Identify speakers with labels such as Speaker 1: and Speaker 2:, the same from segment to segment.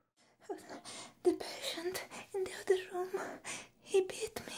Speaker 1: The patient in the other room, he beat me.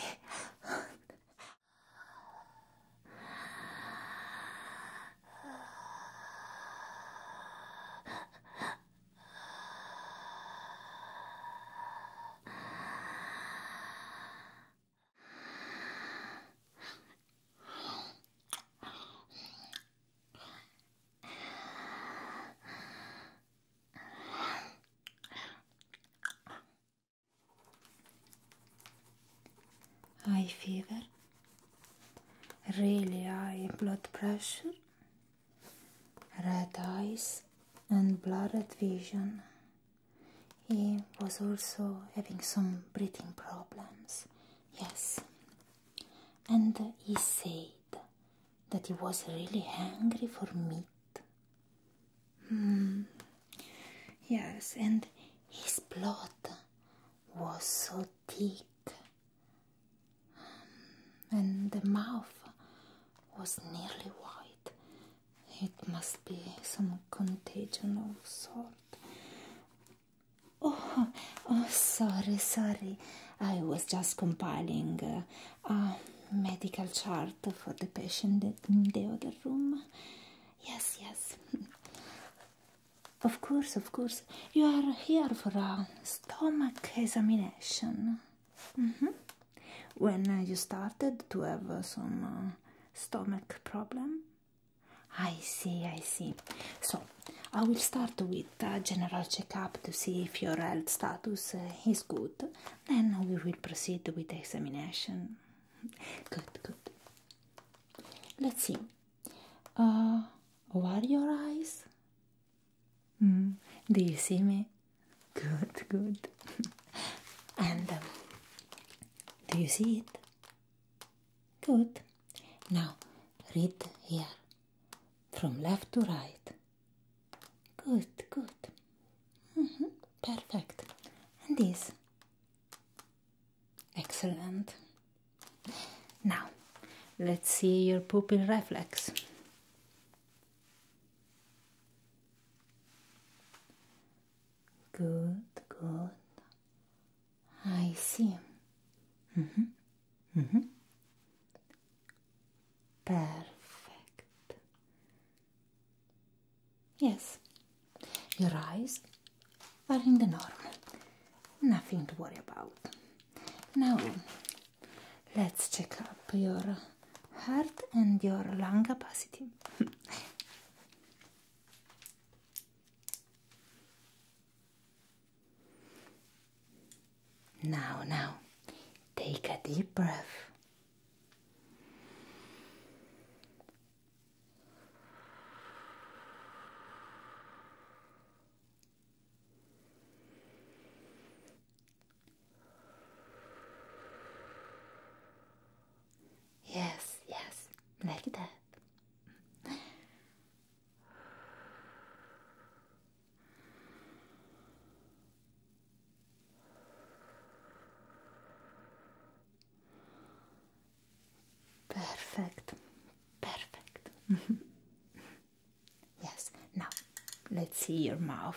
Speaker 2: High fever, really high blood pressure, red eyes, and blurred vision. He was also having some breathing problems, yes. And he said, that he was really hungry for meat. Hmm. Yes, and his blood was so thick, hmm. and the mouth was nearly white. It must be some contagion of sort. Oh, oh, sorry, sorry. I was just compiling uh, a medical chart for the patient in the other room. Yes, yes. of course, of course. You are here for a stomach examination. Mm-hmm. When uh, you started to have uh, some uh, stomach problem? I see, I see. So, I will start with a general checkup to see if your health status uh, is good. Then we will proceed with examination. Good, good. Let's see. Uh, what are your eyes? Mm, do you see me? Good, good. and um, do you see it? Good. Now, read here. from left to right. Good, good. Mm-hmm, perfect. And this. Excellent. Now, let's see your pupil reflex. Good, good. I see.
Speaker 1: mm Perfect.
Speaker 2: Yes, your eyes are in the normal. Nothing to worry about. Now, let's check up your heart and your lung capacity. Now, now, take a deep breath.
Speaker 1: Yes, yes, like that.
Speaker 2: Perfect, perfect. yes, now let's see your mouth.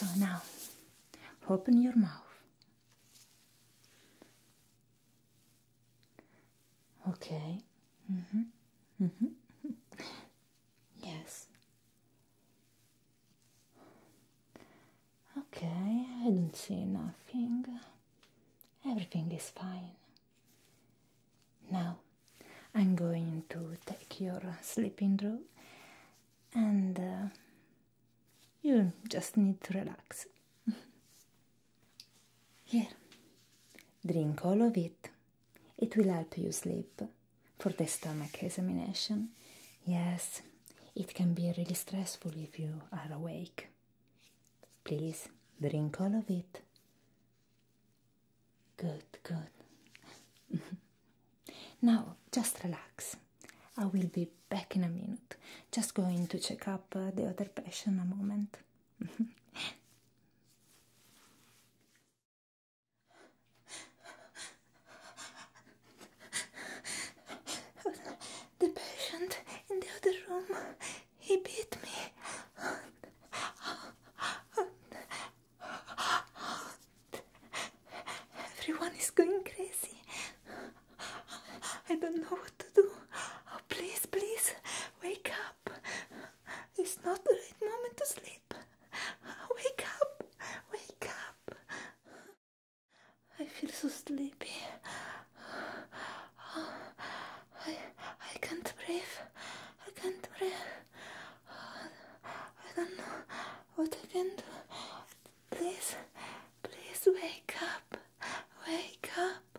Speaker 2: So now open your mouth.
Speaker 1: Okay. Mm-hmm. Mm-hmm. Yes.
Speaker 2: Okay, I don't see nothing. Everything is fine. Now, I'm going to take your sleeping drug and uh, you just need to relax. Here, drink all of it. It will help you sleep for the stomach examination. Yes, it can be really stressful if you are awake. Please drink all of it. Good, good. now just relax. I will be back in a minute. Just going to check up uh, the other patient a moment.
Speaker 1: The patient in the other room, he beat me. Everyone is going crazy. I don't know what to do. please, please, wake up. It's not the right moment to sleep. Wake up, wake up. I feel so sleepy. I, I can't breathe. I can't breathe. I don't know what I can do. Please, please wake up. Wake up.